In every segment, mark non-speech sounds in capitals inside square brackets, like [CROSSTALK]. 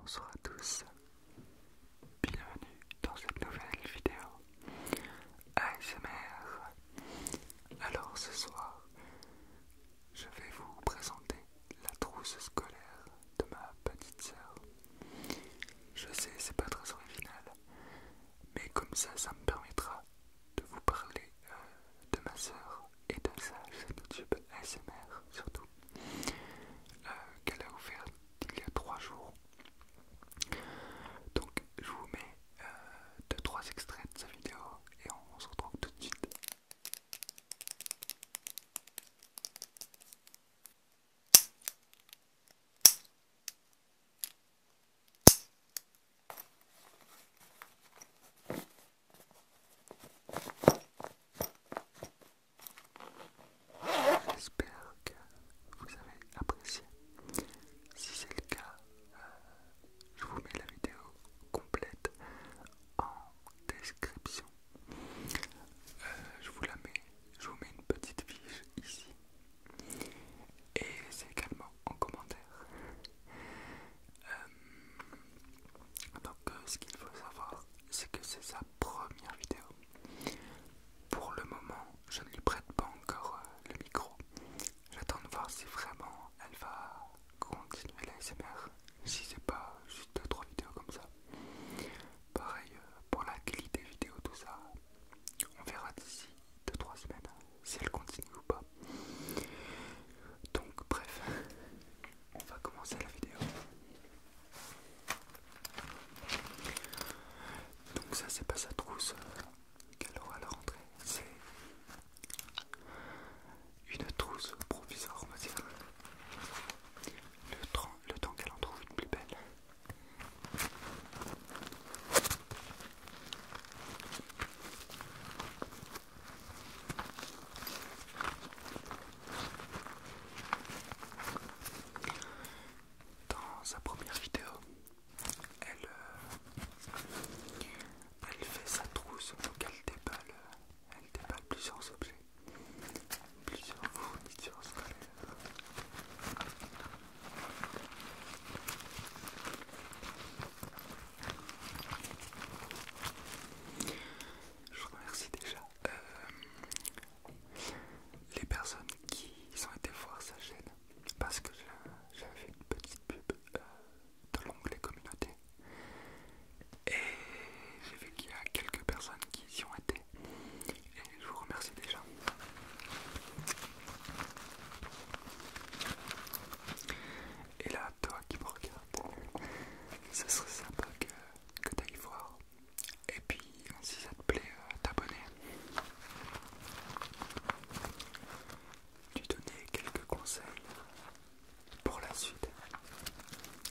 Bonsoir à tous, bienvenue dans cette nouvelle vidéo ASMR. Alors ce soir, je vais vous présenter la trousse scolaire de ma petite sœur. Je sais, c'est pas très original, mais comme ça, ça me permettra de vous parler euh, de ma sœur et de sa chaîne YouTube ASMR surtout euh, qu'elle a ouvert il y a trois jours. Donc je vous mets 2 euh, trois extraits de sa vidéo et on se retrouve tout de suite. J'espère que vous avez apprécié. Si c'est le cas, euh, je vous mets la vidéo complète en description. Euh, je vous la mets, je vous mets une petite fiche ici et c'est également en commentaire. Euh, donc euh, ce qu'il faut savoir, c'est que c'est sa première vidéo. Pour le moment, je ne lui prête pas encore euh, le micro. J'attends de voir si vraiment elle va continuer la l'ASMR, si c'est pas juste 2-3 vidéos comme ça. Pareil pour la qualité vidéo, tout ça, on verra d'ici 2-3 semaines si elle continue ou pas. Donc bref, on va commencer la vidéo. Donc ça c'est pas sa trousse euh, qu'elle aura à la rentrée, c'est une trousse provisoire on va dire. Le temps, le temps qu'elle en trouve une plus belle. Dans sa première vidéo, elle, euh, elle fait sa trousse, donc euh, elle déballe, elle déballe plusieurs objets, plusieurs fournitures scolaires. Je vous remercie déjà. Euh, les personnes qui ont été voir sa chaîne, parce que j'avais fait une petite pub euh, dans l'onglet communauté, et j'ai vu qu'il y a quelques personnes qui y ont été, et je vous remercie déjà. Et là, toi qui me regardes, ce serait sympa que, tu ailles voir. Et puis, si ça te plaît, euh, t'abonner. Tu donner quelques conseils pour la suite.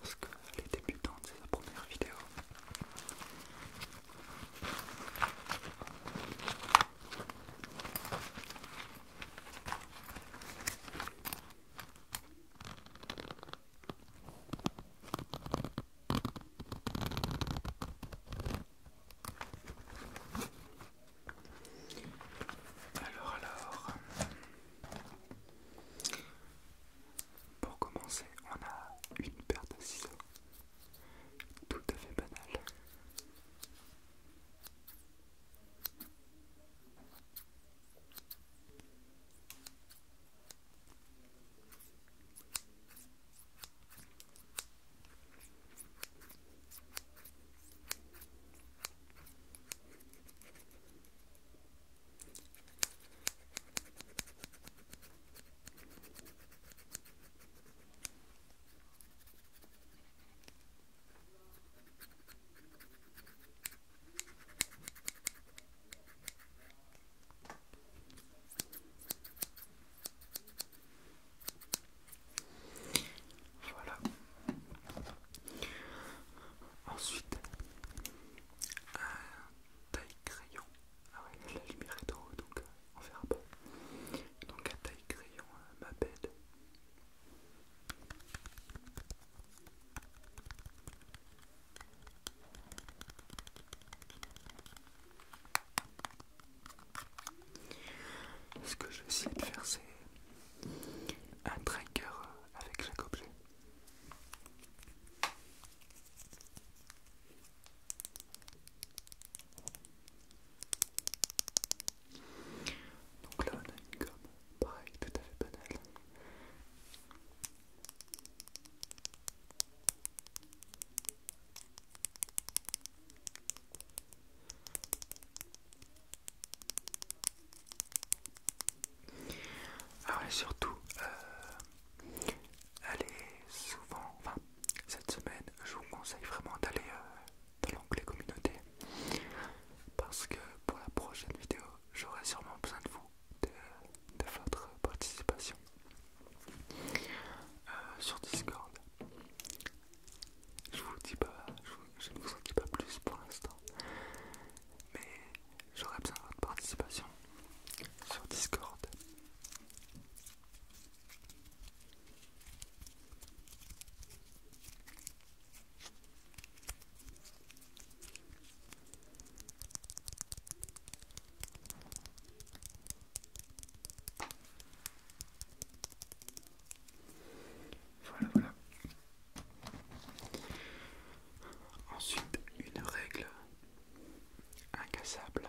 Parce que les débutants, c'est la première vidéo. Alors, alors, pour commencer, on a une paire de ciseaux tout à fait banal. Voilà. Ensuite, un taille crayon. Ah ouais, la lumière est en donc euh, on verra peu donc à taille crayon à euh, ma bête Ce que je vais de faire, c'est un tracker euh, avec chaque objet. Donc là, on a une gomme, pareil, tout à fait banale. Ah ouais, surtout, euh, elle est souvent, cette semaine, je vous conseille vraiment d'aller euh, dans l'onglet communauté parce que pour la prochaine vidéo, j'aurai sûrement besoin de vous, de, votre participation euh, sur Discord. Je vous dis pas, je, je ne vous en dis pas plus pour l'instant, mais j'aurai besoin de votre participation sur Discord. Voilà, voilà. Ensuite, une règle incassable.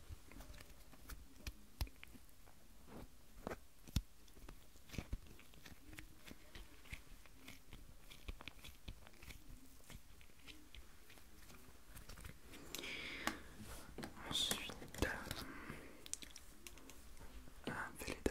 Ensuite, euh, un Velleda.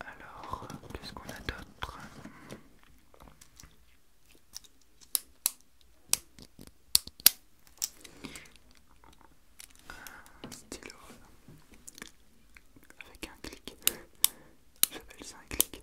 Alors, qu'est-ce qu'on a d'autre un stylo avec un clic, j'appelle ça un clic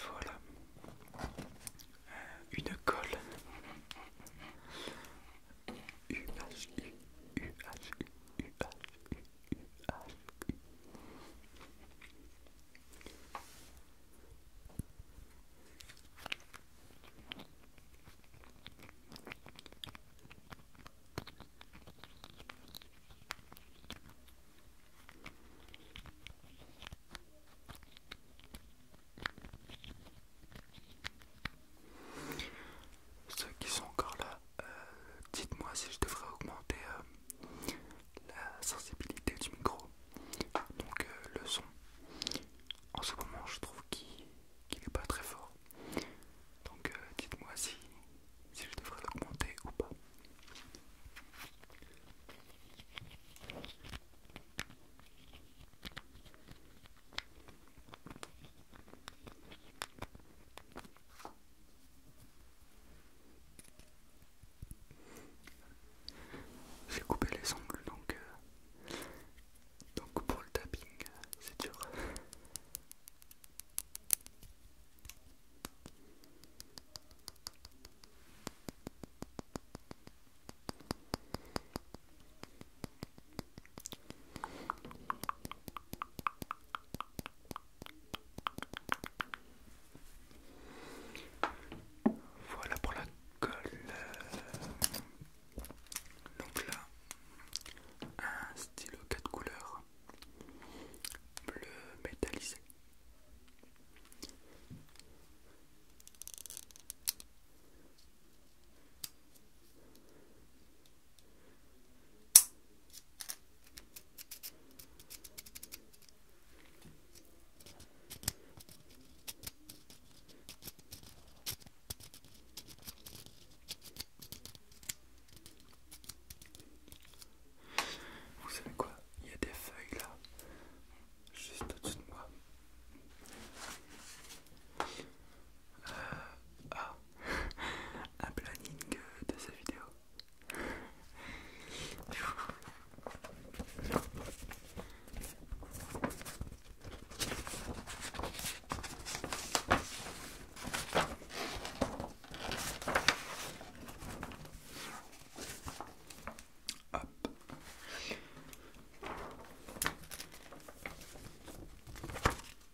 Voilà euh, une colle. Ceux qui sont encore là, euh, dites-moi si je devrais augmenter euh, la sensibilité du micro, donc euh, le son. En ce moment, je trouve qu'il n'est pas très fort. Donc, dites-moi si je devrais l'augmenter ou pas. J'ai coupé les ongles donc euh, donc pour le tapping c'est dur. Voilà pour la colle. Donc là, un stylo 4 couleurs bleu métallisé. Vous savez quoi Il y a des feuilles là, juste au-dessus de moi. Euh, ah. [LAUGHS] un planning euh, de cette vidéo.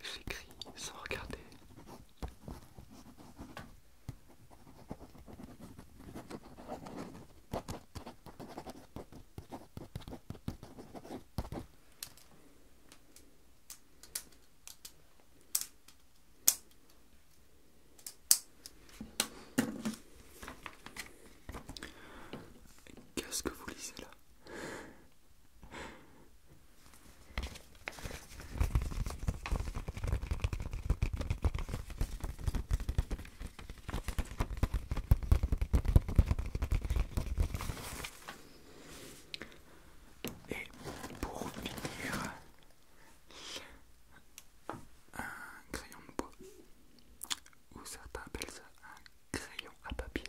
J'écris sans regarder. Qu'est-ce que vous lisez là et pour finir, un crayon de bois, ou certains appellent ça crayon à papier.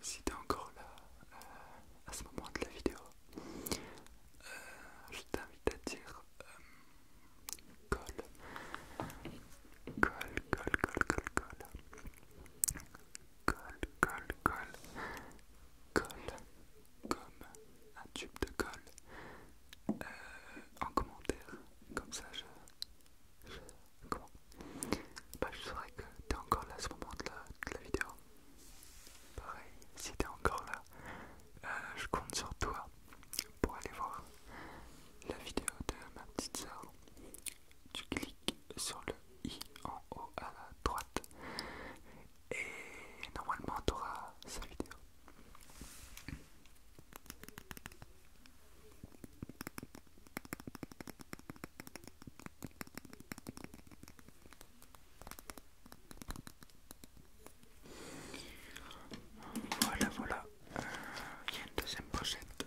Si t'es encore là euh, à ce moment de la vidéo, euh, je t'invite à dire call euh, ». colle, colle, colle, colle, colle, colle, colle, colle, comme un tube de colle euh, en commentaire. Comme ça, je. comment bah, Je saurais que t'es encore là à ce moment de la, vidéo. Pareil, si t'es encore là, euh, je compte sur toi pour aller voir la vidéo de ma petite sœur. Tu cliques sur le i en haut à la droite et normalement tu auras sa vidéo voilà voilà euh, il y a une deuxième pochette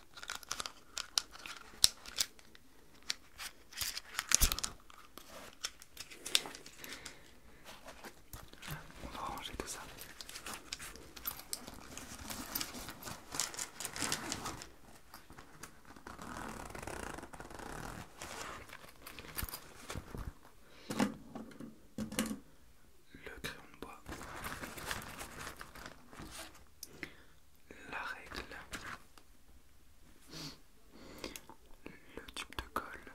On va ranger tout ça le crayon de bois, la règle, le tube de colle,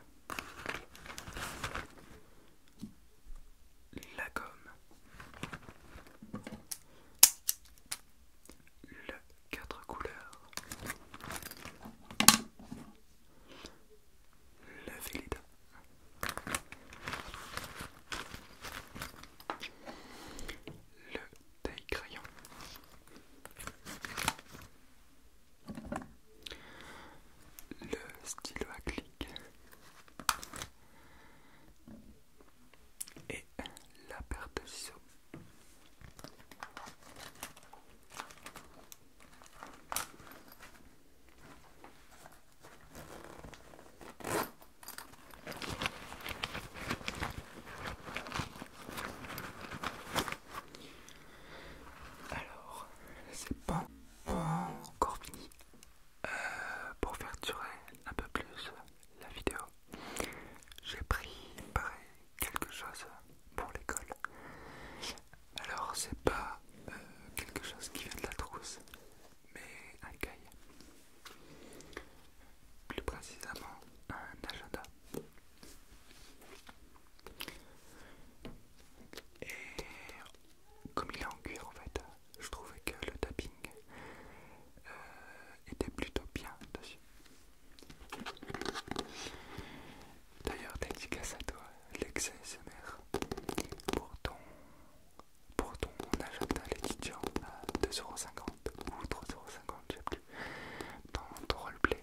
la gomme, le quatre couleurs, le vélida le taille crayon le stylo à clic et la paire de ciseaux alors, c'est pas, encore fini. Euh, pour faire durer un peu plus la vidéo, j'ai pris pareil quelque chose pour l'école. Alors, c'est pas euh, quelque chose qui vient de la trousse, mais un cahier. Plus précisément, un agenda. Et comme il est en cuir, en fait, je trouvais que le tapping euh, était plutôt bien dessus. D'ailleurs, dédicace à toi, l'excès mère pour ton pour ton agenda Laetitia à 2,50€ ou 3,50€, je sais plus, dans ton roleplay.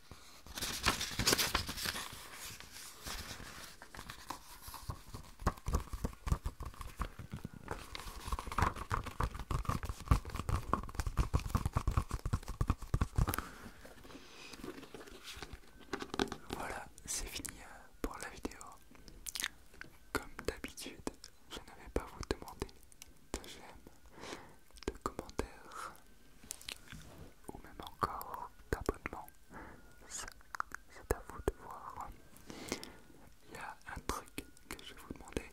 Voilà, c'est fini euh, pour la vidéo. Comme d'habitude, je n'avais pas vous demander de j'aime, de commentaires, ou même encore d'abonnement, c'est à vous de voir. Il y a un truc que je vais vous demander,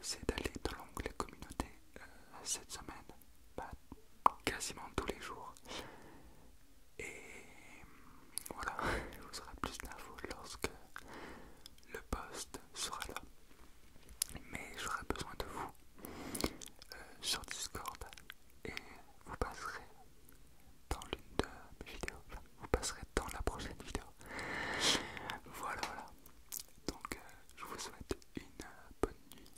c'est d'aller dans l'onglet communauté euh, cette semaine, quasiment tous les jours. Et voilà, [LAUGHS] vous aurez plus d'infos lorsque le poste sera là. Mais j'aurai besoin de vous euh, sur Discord et vous passerez dans l'une de mes vidéos. vous passerez dans la prochaine vidéo. Voilà, voilà. Donc, euh, je vous souhaite une bonne nuit.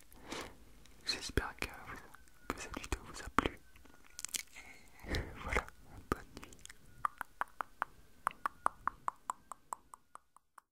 J'espère que, que cette vidéo vous a plu. Et [LAUGHS] voilà, bonne nuit.